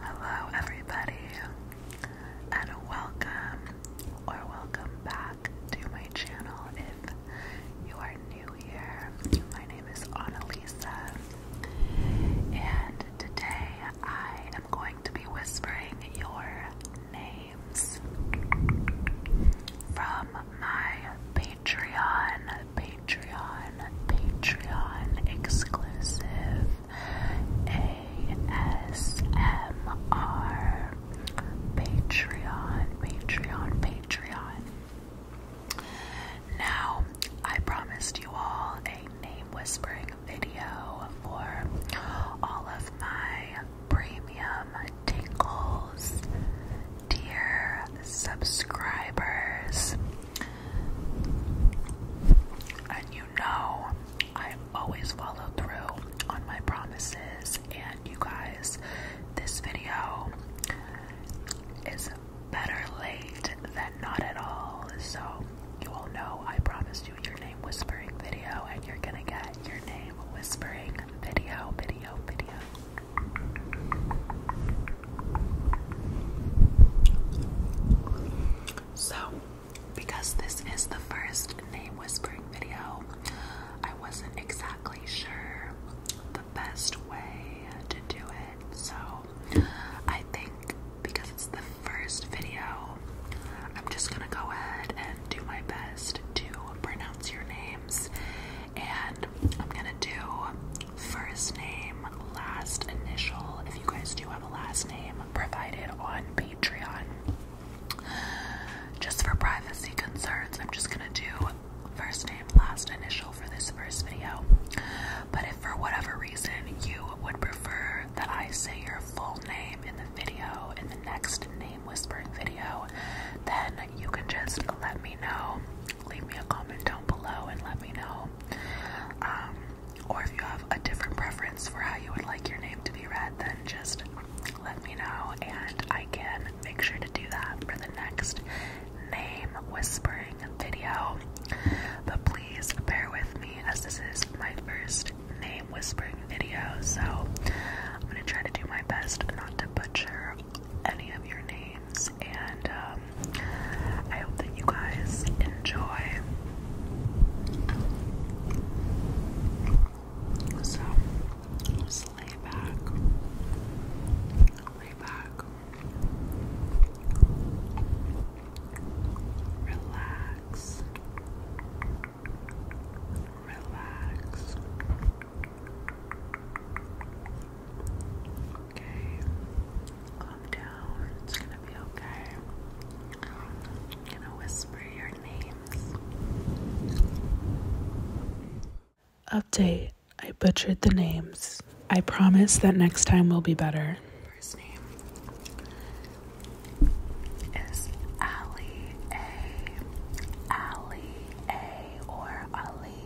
Hello, everybody, and welcome or welcome back to my channel. If you are new here, my name is Annalisa, and today I am going to be whispering your names from my Patreon Patreon, Patreon exclusive ASMR. Patreon, Patreon, Patreon. Now, I promised you all a name whispering video for all of my premium tingles, dear subscribers. And you know, I always follow through on my promises. And you guys, this video is better late than not at all. So, you all know I promised you your name whispering video, and you're gonna get your name whispering video, video, video. So, because this is the first name whispering video, I wasn't exactly sure the best way to do it. So, I think because it's the first video, I'm just gonna go ahead and do my best to pronounce your names, and I'm gonna do first name, last initial, if you guys do have a last name, provided on Patreon. Just for privacy concerns, I'm just gonna do first name, last initial for this first video. But if for whatever reason you would prefer that I say your full name in the video, in the next name whispering video, then you can just let me know. Leave me a comment down below and let me know um, or if you have a different preference for how you would like your name to be read, then just let me know and I can make sure to do that for the next name whispering video. But please bear with me as this is my first name whispering video, so I'm gonna try to do my best not to butcher any of your names and um, I hope that you guys enjoy. So, just lay back, lay back, relax, relax, Okay. Calm down. It's gonna be okay. i gonna whisper your names. Update. I butchered the names. I promise that next time will be better. First name is Ali A. Ali A or Ali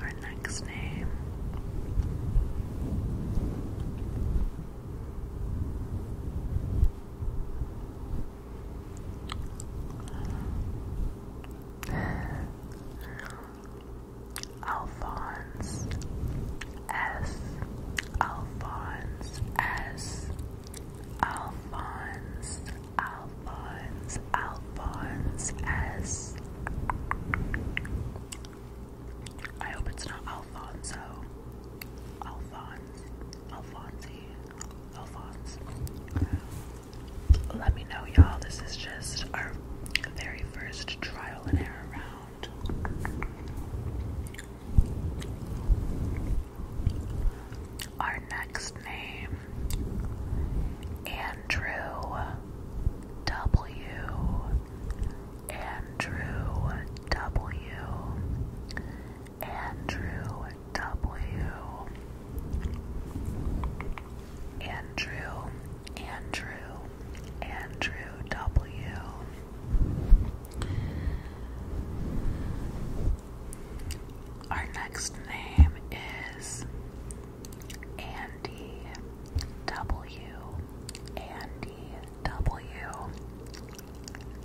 our next name. Alphonse S. Alphonse S. Alphonse, Alphonse as Alfonso. Alphonse. Alfonsi. Alphonse. Let me know, y'all. This is just our very first trial and error round. Our next name Andrew W. Andrew W. Andrew W. Andrew, Andrew, Andrew W. Our next name is Anne Andy W. Andy W.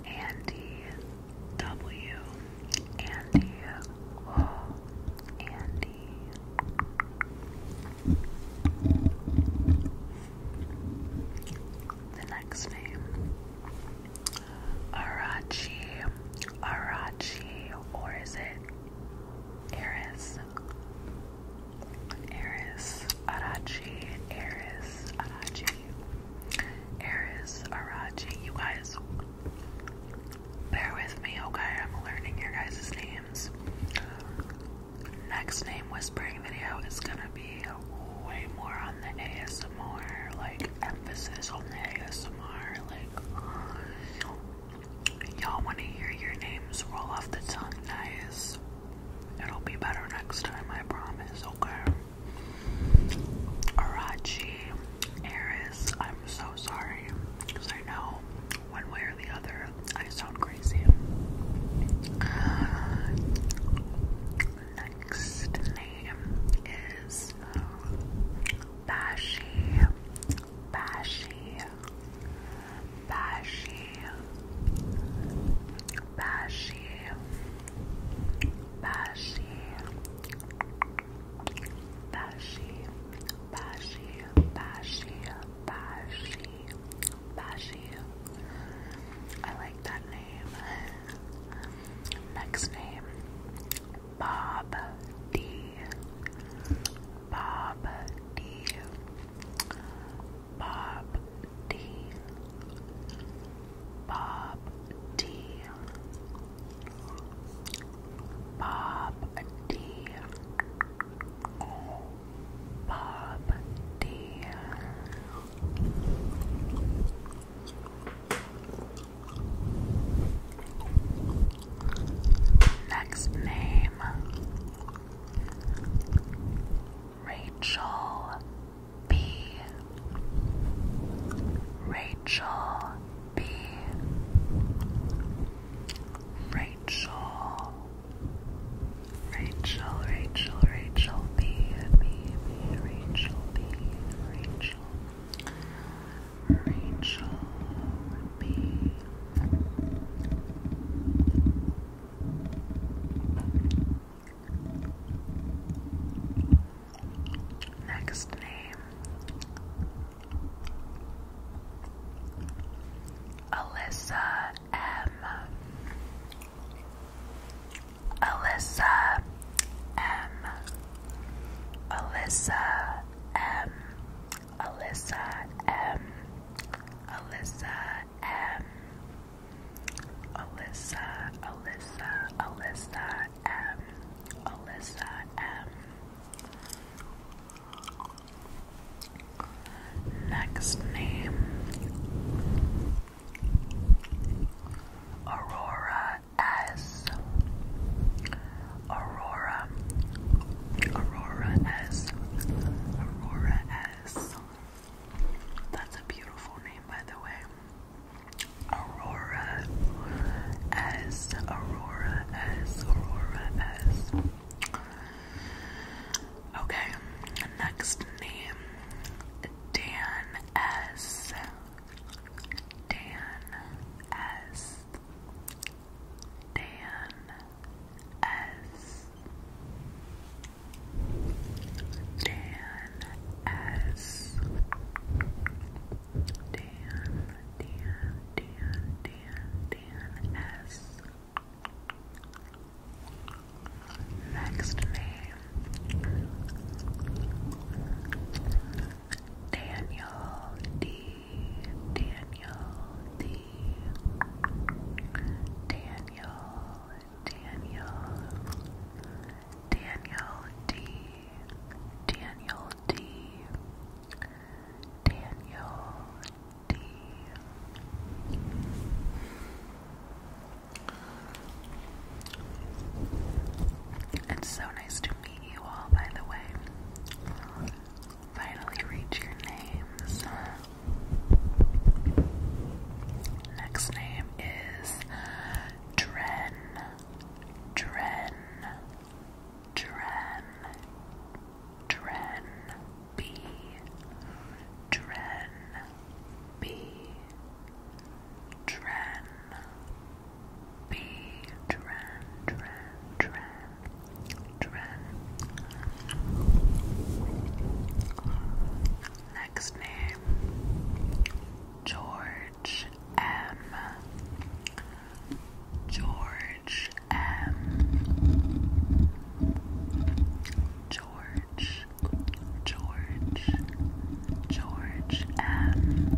Andy W. Andy. Oh, Andy. The next name. Arachi. Arachi. Or is it Eris? Eris Arachi, Eris Arachi, Eris Arachi. You guys, bear with me, okay? I'm learning your guys' names. Next name whispering video is gonna be way more on the ASMR, like emphasis on the ASMR, like Y'all want to hear your names roll off the tongue nice. It'll be better next time, I promise, okay? Arachi, Eris, I'm so sorry. Because I know one way or the other I sound crazy. next name is uh, Bashi. Bashi. Bashi Bashi Bashi Bashi Bashi Bashi Bashi Bashi I like that name. Next name Bob D Bob D. Bob D. Bob D. Bob D. Bob D. Next name Rachel B. Rachel B. Rachel. Rachel, Rachel, Rachel B. B. B. Rachel B. Rachel. Rachel Next name Alyssa M. Alyssa M. Alyssa M. Alyssa M. Alyssa M. Alyssa, Alyssa, Alyssa M. Alyssa M. Next name Aurora S. Aurora, Aurora S, Aurora S. That's a beautiful name, by the way. Aurora S, Aurora S, Aurora S. Okay, next name Dan S. Dan S. Dan S. Dan S. Dan, Dan, Dan, Dan, Dan S. Next name Daniel D. Daniel, the Daniel, Daniel, Daniel D, Daniel D, Daniel D. It's so nice to meet you all, by the way finally reach your names. Next name is Dren. Dren. Dren. Dren B. Dren B. Dren B. Dren. Dren. Dren. Next name George M. George M. George, George, George M.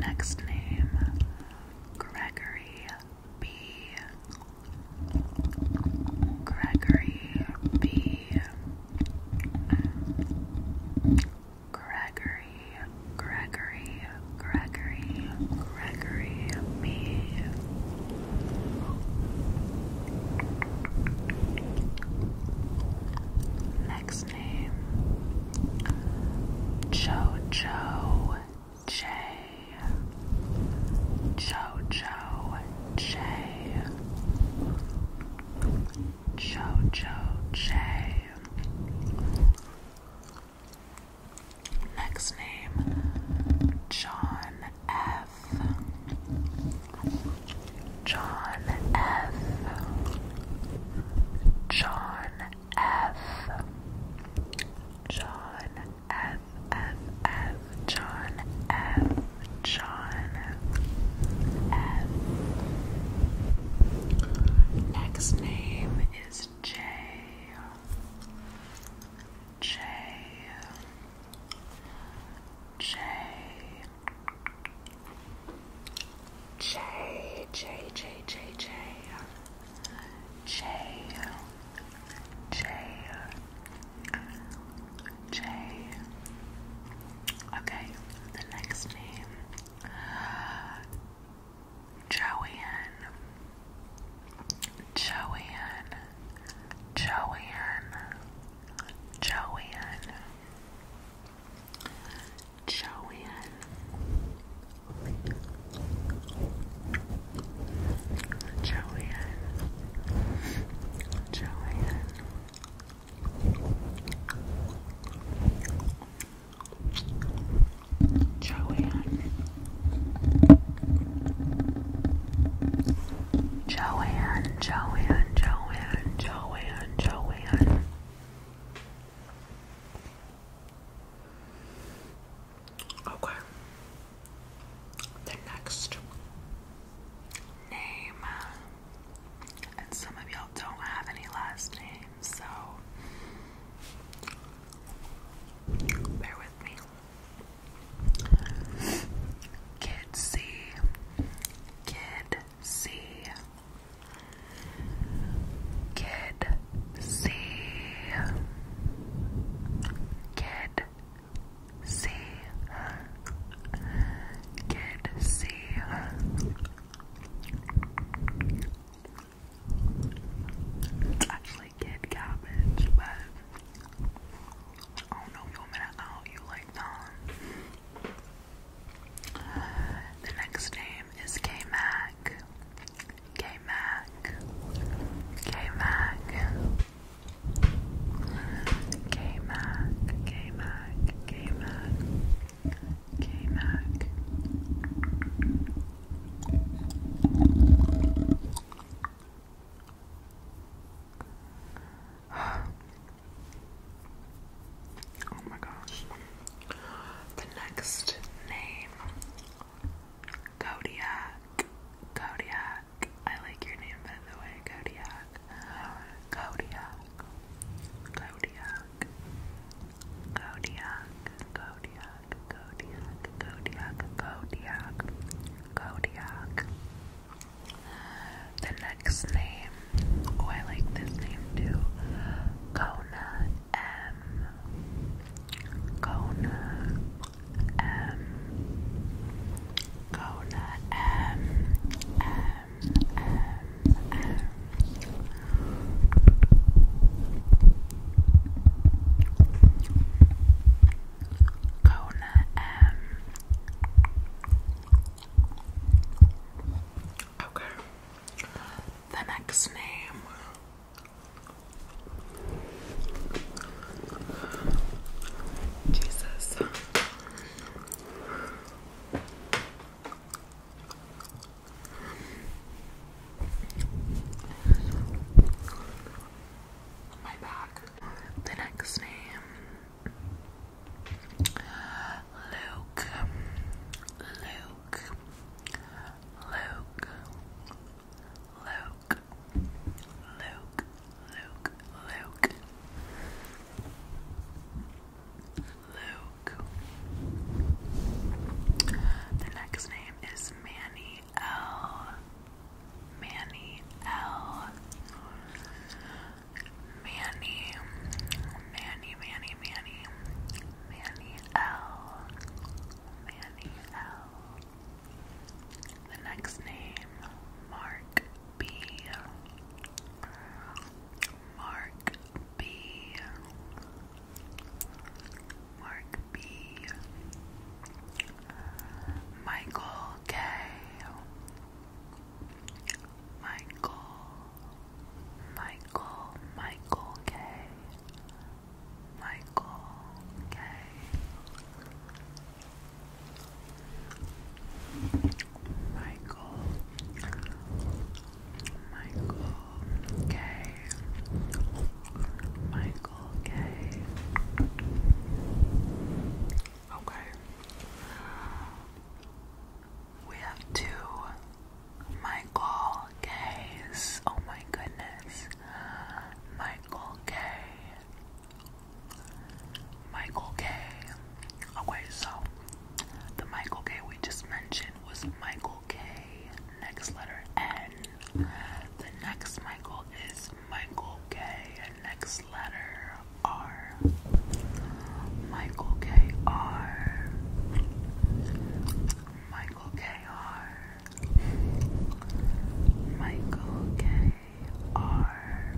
Next name Gregory B. Gregory B. Gregory, Gregory, Gregory, Gregory B. Next Jojo J. Jojo J. Jojo J. Next name John F. John F. John F. John F. F. F. John F. John F. Next name is J. J. J. J, J, J, J, J, J, J, J. Okay, the next name, Joanne, Joanne, Joanne, Joanne. Joanne. Joanne. Joanne. Joanne. Joanne, Joanne, Joanne, Joanne, Joanne. Okay. The next name, and some of y'all don't have any last names, so bear with me. Kid C, Kid C, Kid C. Kid C. Kid C. It's actually kid cabbage, but I don't know if you want me to out you like that. The next name is K Mac. K Mac. K Mac. K Mac. K Mac. K Mac. K Mac. Oh my gosh. The next name Kodiak. Kodiak. I like your name by the way, Kodiak. Kodiak. Kodiak. Kodiak. Kodiak. Kodiak. Kodiak. Kodiak. The next name. Oh, I like this name too. Kona. M Kona M Kona M M M M Kona M Okay. The next name Jesus. My back. The next name Luke, Luke, Luke, Luke, Luke, Luke, Luke. Luke. The next name is Manny L. Manny L. Manny, Manny, Manny, Manny, Manny, L. Manny L. The next name, Mark B. Mark B. Mark B. Michael K. Michael Michael, Michael K. Michael K. Michael, Michael K. Michael K. Okay. We have two Michael K's. Oh my goodness. Michael K. Michael K. Okay, so the Michael K we just mentioned was Michael K. Next letter N. The next Michael is Michael K. Next letter R. Michael K.R. Michael K.R. Michael K.R.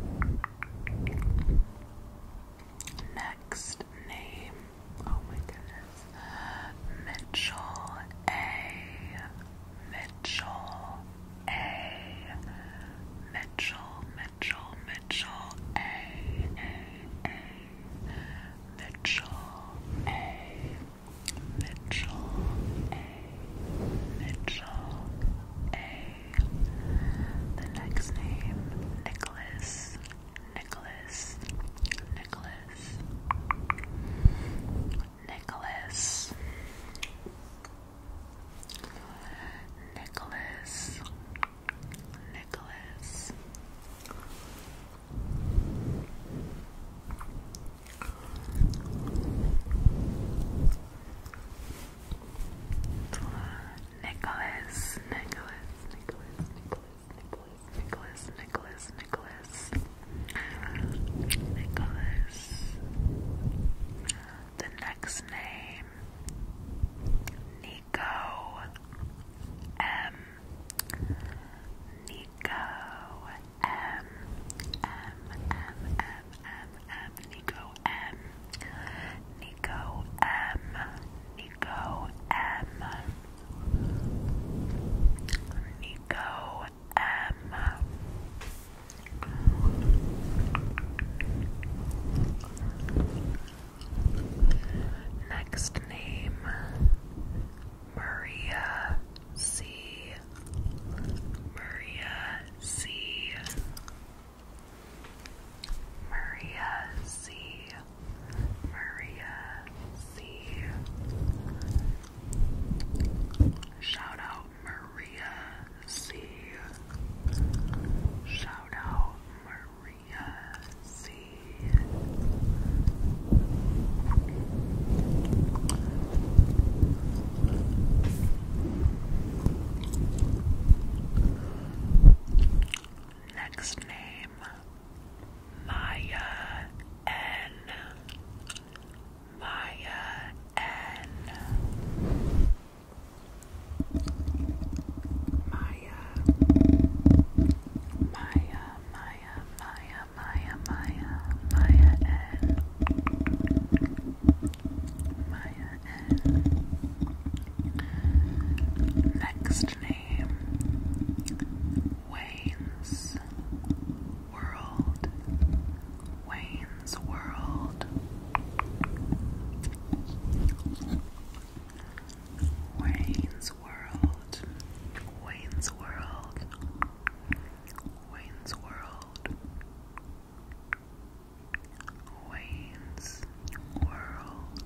Next name, oh my goodness, Mitchell A. Mitchell A. Mitchell, Mitchell, Mitchell A. A. A. Mitchell A. Mitchell A. Mitchell A. The next name, Nicholas. Nicholas. Nicholas. Nicholas. Nicholas. Nicholas. Nicholas, Nicholas, Nicholas, Nicholas, Nicholas, Nicholas, Nicholas, Nicholas, The next name Nico M. Nico M M M M M Nico M Nico M Nico M Nico M Next name Maria C. Maria C. Maria C. Maria C. Shout out Maria C. Shout out Maria see. Next name Maya N. Maya N. Maya Maya, Maya, Maya, Maya, Maya, Maya, N, Maya N. Next name, Wayne's World, Wayne's World. Wayne's World, Wayne's World, Wayne's World, Wayne's World.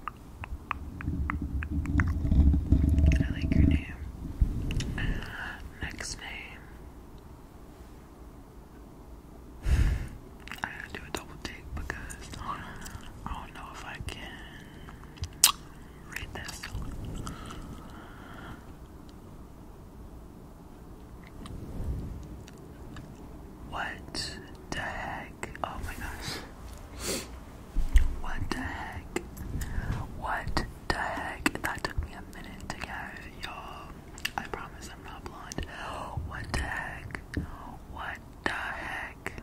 I like your name. Uh, next name. I gotta do a double take because I don't know if I can. Read this. What the heck? Oh my gosh. What the heck? What the heck? That took me a minute to get, y'all. I promise I'm not blonde. What the heck? What the heck?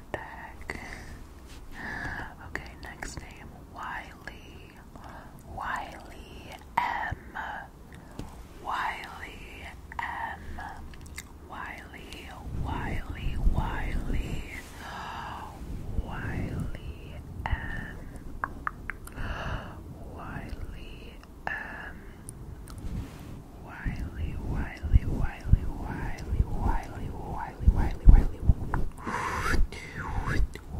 what the heck? Okay, next name Wiley. Wiley M. Wiley M. Wiley, Wiley, Wiley. Wiley M. Wiley M. Wiley, Wiley, Wiley, Wiley, Wiley, Wiley, Wiley, Wiley,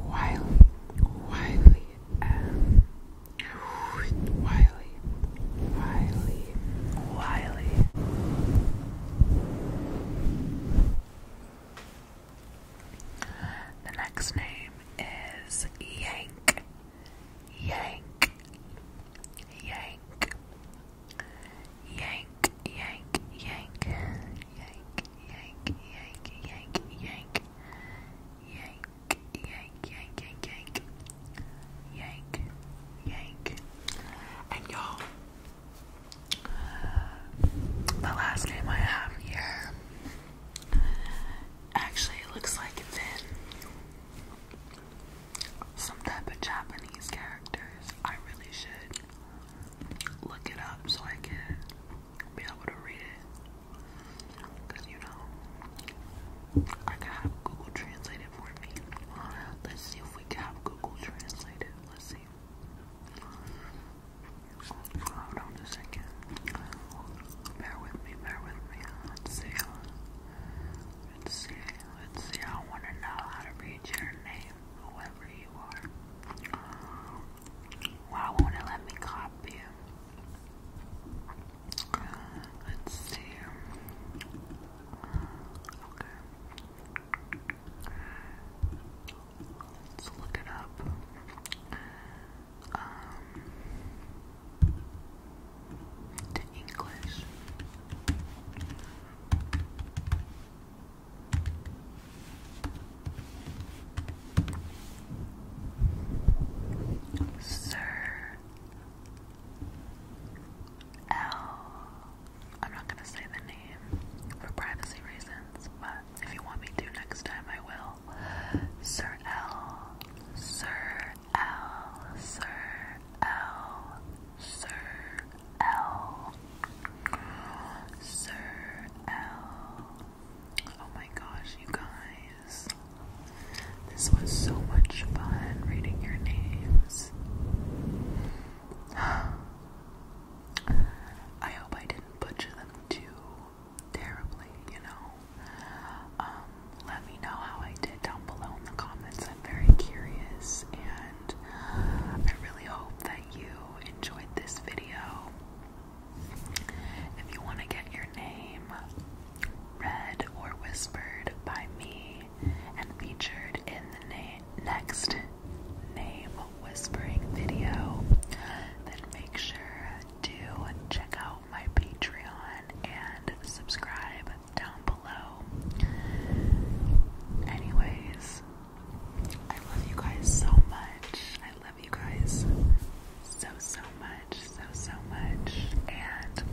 Wiley, Wiley, um, Wiley, Wiley, Wiley. The next name is Yank, Yank, Yank. Yank, yank, yank, yank, yank, yank, yank, yank, yank, yank, yank, yank, yank, yank, yank. And y'all, the last game I have here actually it looks like it's in some type of Japanese characters. I really should look it up so I can be able to read it. Because, you know, I can have Google translate it for me. Let's see if we can have Google translate it. Let's see. Hold on a second. Bear with me, bear with me. Let's see. Let's see, let's see. I want to know how to read your name, whoever you are. Why won't it let me copy let's see. Okay. Let's look it up. Um, to English. Sir L. I'm not gonna say the name for privacy reasons, but if you want me to next time, I will. Sir L. Sir L. Sir L. Sir Sir L. Oh my gosh, you guys. This was so much fun reading your names. I hope I didn't butcher them too terribly, you know. Um, let me know how I did down below in the comments. I'm very curious I really hope that you enjoyed this video. If you want to get your name read or whispered by me and featured in the next name whispering video, then make sure to check out my Patreon and subscribe down below below. Anyways, I love you guys so much. I love you guys so, so much. So, so much. And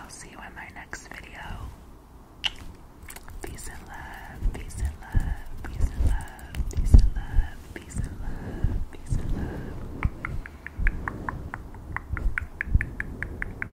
I'll see you in my next video. Peace and love. Peace and love. Peace and love. Peace and love. Peace and love. Peace and love.